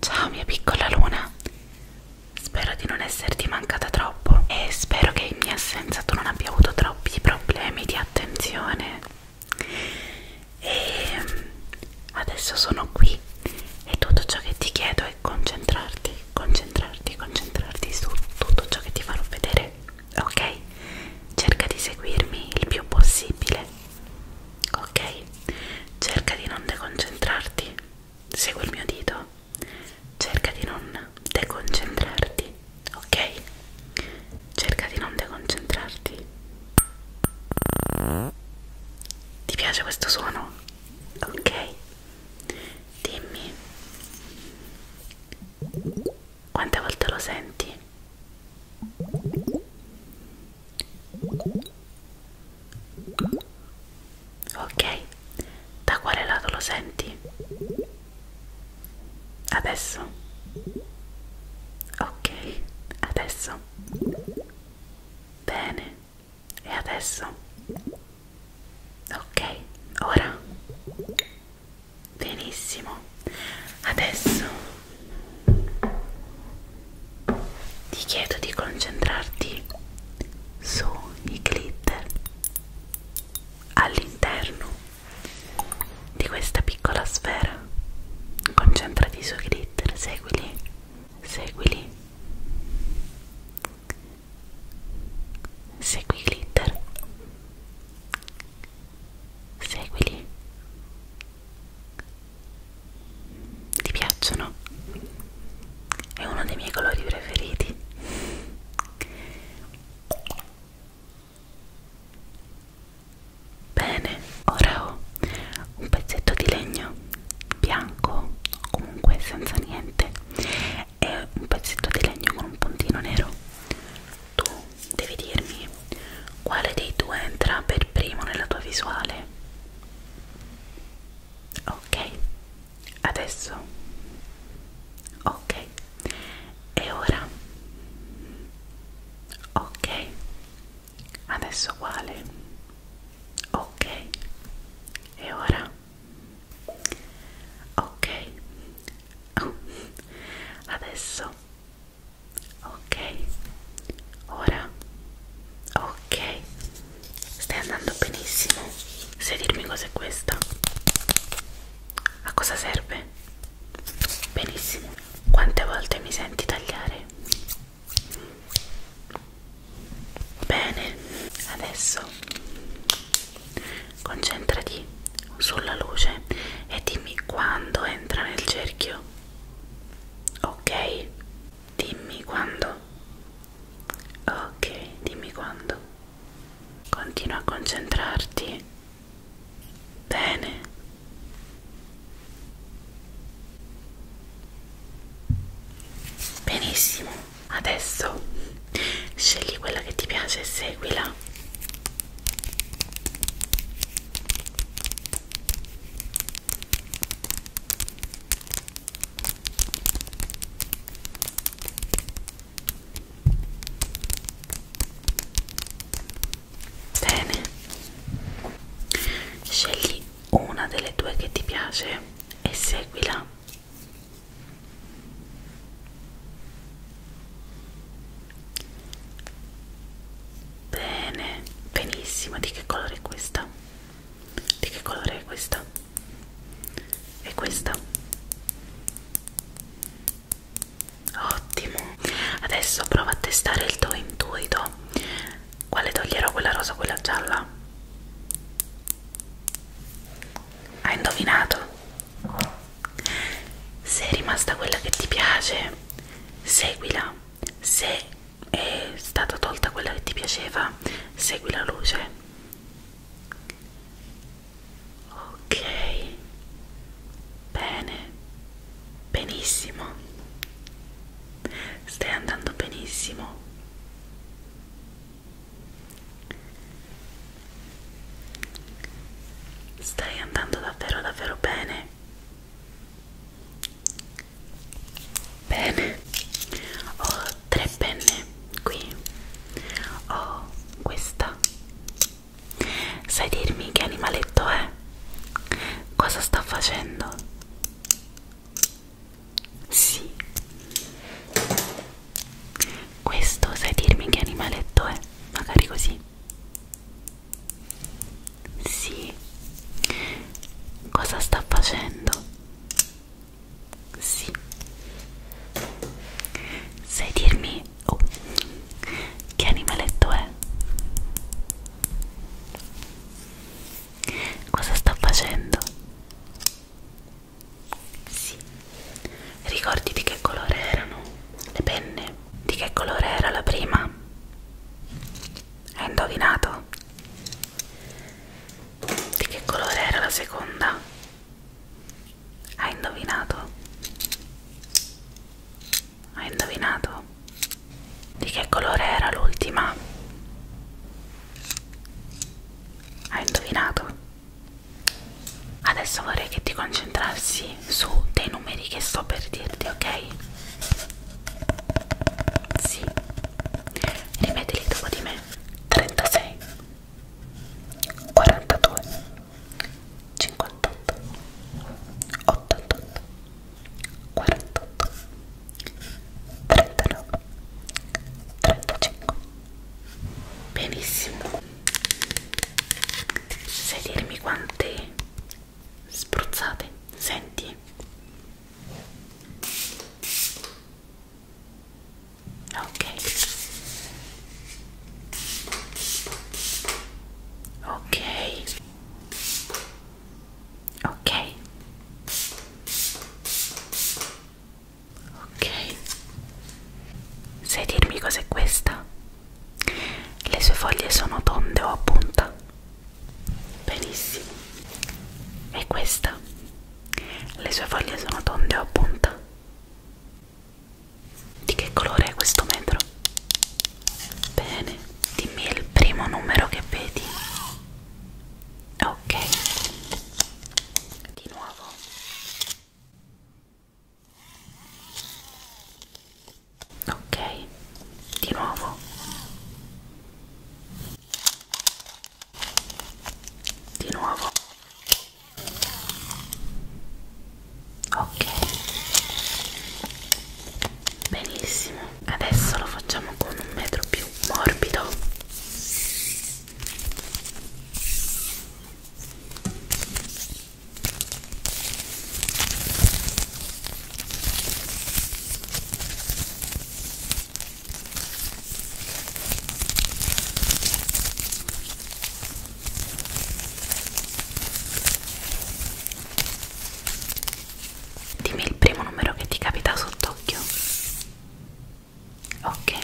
Ciao mia piccola luna, spero di non esserti mancata troppo e spero che in mia assenza tu non abbia avuto troppi problemi di attenzione. E ehm, adesso sono qui e tutto ciò che ti chiedo è concentrarti, concentrarti, concentrarti su tutto ciò che ti farò vedere, ok? Cerca di seguirmi il più possibile Ok, cerca di non deconcentrarti. Segui il mio dito. Cerca di non deconcentrarti. Ok? Cerca di non deconcentrarti. Ti piace questo suono? Ok. Dimmi. Quante volte lo senti? Ok, da quale lato lo senti? Adesso? Ok, adesso. Bene, e adesso? Ok, ora? benissimo adesso ti chiedo di concentrarti sui glitter all'interno di questa piccola sfera concentrati sui glitter seguili seguili segui glitter seguili ti piacciono? è uno dei miei colori preferiti bene ora ho un pezzetto di legno bianco comunque senza niente e un pezzetto di legno con un puntino nero tu devi dirmi quale dei due entra per primo nella tua visuale. Ok, adesso. Ok, e ora. Ok, adesso quale? Ok, e ora. Ok, adesso ok ora ok stai andando benissimo sai dirmi cos'è questa a cosa serve benissimo quante volte mi senti tagliare bene adesso concentrati sulla luce e dimmi quando entra nel cerchio. Ok? Dimmi quando. Ok, dimmi quando. Continua a concentrarti. Bene. Benissimo. Adesso scegli quella che ti piace e seguila. Bene, scegli una delle due che ti piace e seguila. Bene, benissimo. Di che colore è questa? Di che colore è questa? E questa? Ottimo. Adesso provo a testare il tuo intuito. Quale toglierò? Quella rosa o quella gialla? Hai indovinato? se è rimasta quella che ti piace seguila se è stata tolta quella che ti piaceva segui la luce ok bene benissimo stai andando benissimo Stai andando davvero davvero bene. Bene. Ho tre penne qui. Ho questa. Sai dirmi che animaletto è? Cosa sta facendo? Sì. Questo sai dirmi che animaletto è? Magari così. Sì. Cosa sta facendo? Sì. Sai dirmi oh, che animaletto è? Cosa sta facendo? Sì. Ricordati che colore erano le penne? Di che colore era la prima? Hai indovinato? Di che colore era la seconda? Hai indovinato? Hai indovinato? Di che colore era l'ultima? Hai indovinato? Adesso vorrei che ti concentrassi su dei numeri che sto per dirti, ok? Sì. Rimetili dopo di me. 36 42 58 88 48 39 35 Benissimo sai dirmi quante spruzzate senti ok ok ok ok sai dirmi cos'è questa le sue foglie sono tonde o a punta? Benissimo. E questa? Le sue foglie sono tonde o a punta? Di che colore è questo metro? Bene, dimmi il primo numero che vedi. Ok. Di nuovo ok di nuovo di nuovo ok benissimo adesso lo facciamo con un metro più morbido Dimmi il primo numero che ti capita sott'occhio. Ok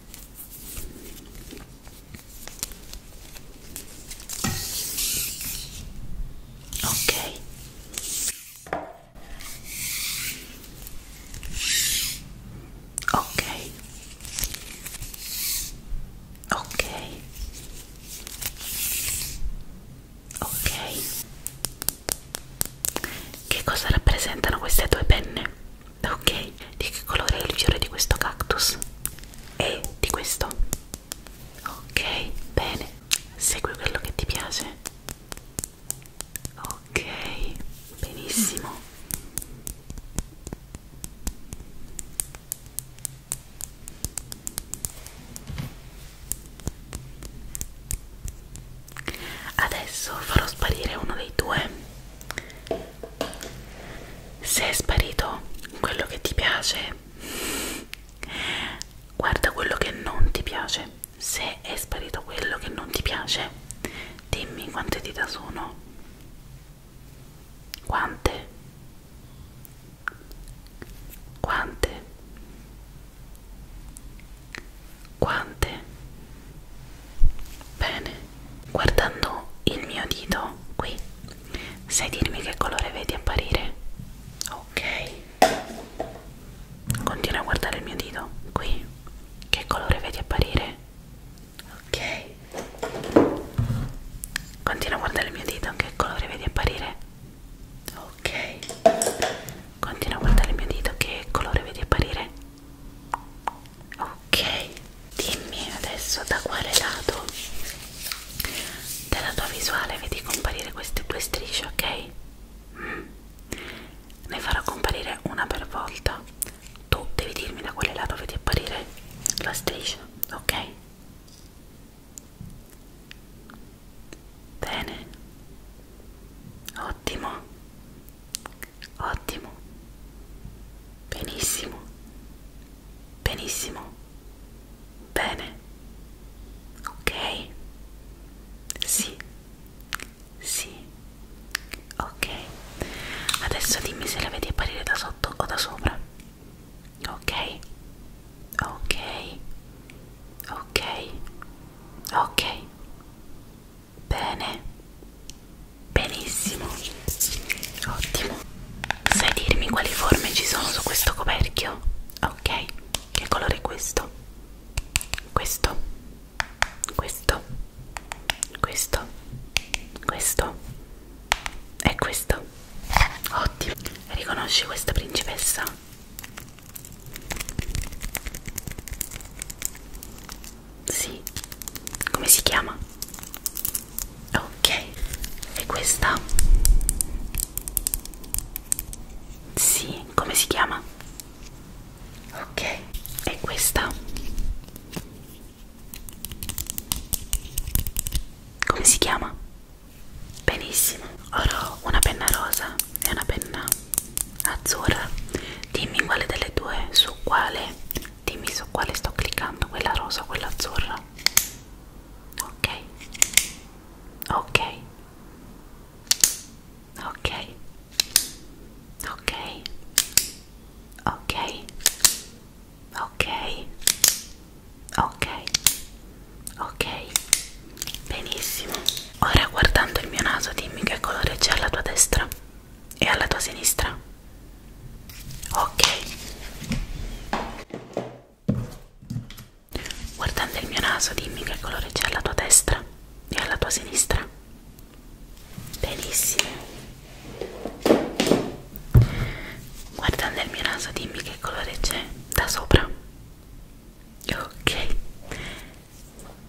ok ok ok ok che cosa rappresentano queste due penne ok di che colore è il fiore di questo cactus e di questo ok bene segui quello che ti piace ok benissimo Adesso farò sparire uno dei due se è sparito quello che ti piace guarda quello che non ti piace se è sparito quello che non ti piace dimmi quante dita sono quante quante quante Bene, guardando il mio dito qui, sai dirmi che colore vedi apparire? Ok, continua a guardare il mio dito qui, che colore vedi apparire? Ok, continua a guardare il mio dito, che colore vedi apparire? Ok, continua a guardare il mio dito, che colore vedi apparire? ok dimmi adesso da quale lato della tua visuale vedi comparire queste due strisce ok mm. ne farò comparire una per volta tu devi dirmi da quale lato vedi apparire la striscia ok bene ottimo Ottimo. Benissimo. Benissimo. Bene. Ok. Sì. Sì. Ok. Adesso dimmi se la vedi apparire da sotto o da sopra. Ok. Ok. Ok. Ok. Bene, benissimo, ottimo. Sai dirmi quali forme ci sono su questo coperchio? Ok, che colore è questo? Questo, questo, questo, questo e questo. Ottimo, riconosci questa principessa? Sì. Come si chiama? Ok. E questa? Sì, come si chiama? Ok. E questa? Come si chiama? Benissimo. Ora ho una penna rosa e una penna azzurra. Dimmi quale delle due su quale dimmi su quale sto cliccando quella rosa quella azzurra ok ok ok ok ok ok ok ok benissimo ora guardando il mio naso dimmi che colore c'è alla tua destra e alla tua sinistra. Ok. Guardando il mio naso, dimmi che colore c'è alla tua destra e alla tua sinistra. Benissimo. Guardando il mio naso, dimmi che colore c'è da sopra. Ok.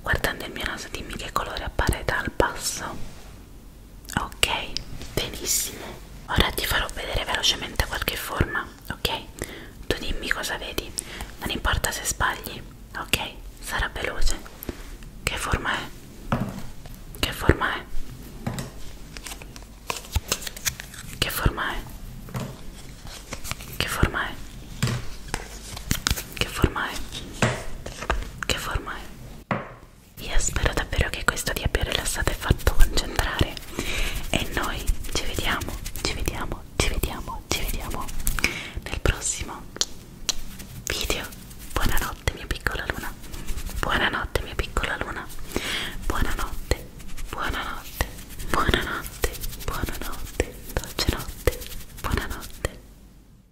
Guardando il mio naso, dimmi che colore appare dal basso ok benissimo ora ti farò vedere velocemente qualche forma ok tu dimmi cosa vedi non importa se sbagli ok sarà veloce che forma è che forma è che forma è che forma è che forma è che forma è io spero davvero che questo ti abbia rilassato e fatto concentrare. E noi ci vediamo, ci vediamo, ci vediamo, ci vediamo nel prossimo video. Buonanotte mia piccola luna. Buonanotte mia piccola luna. Buonanotte, buonanotte, buonanotte, buonanotte, dolce notte, buonanotte.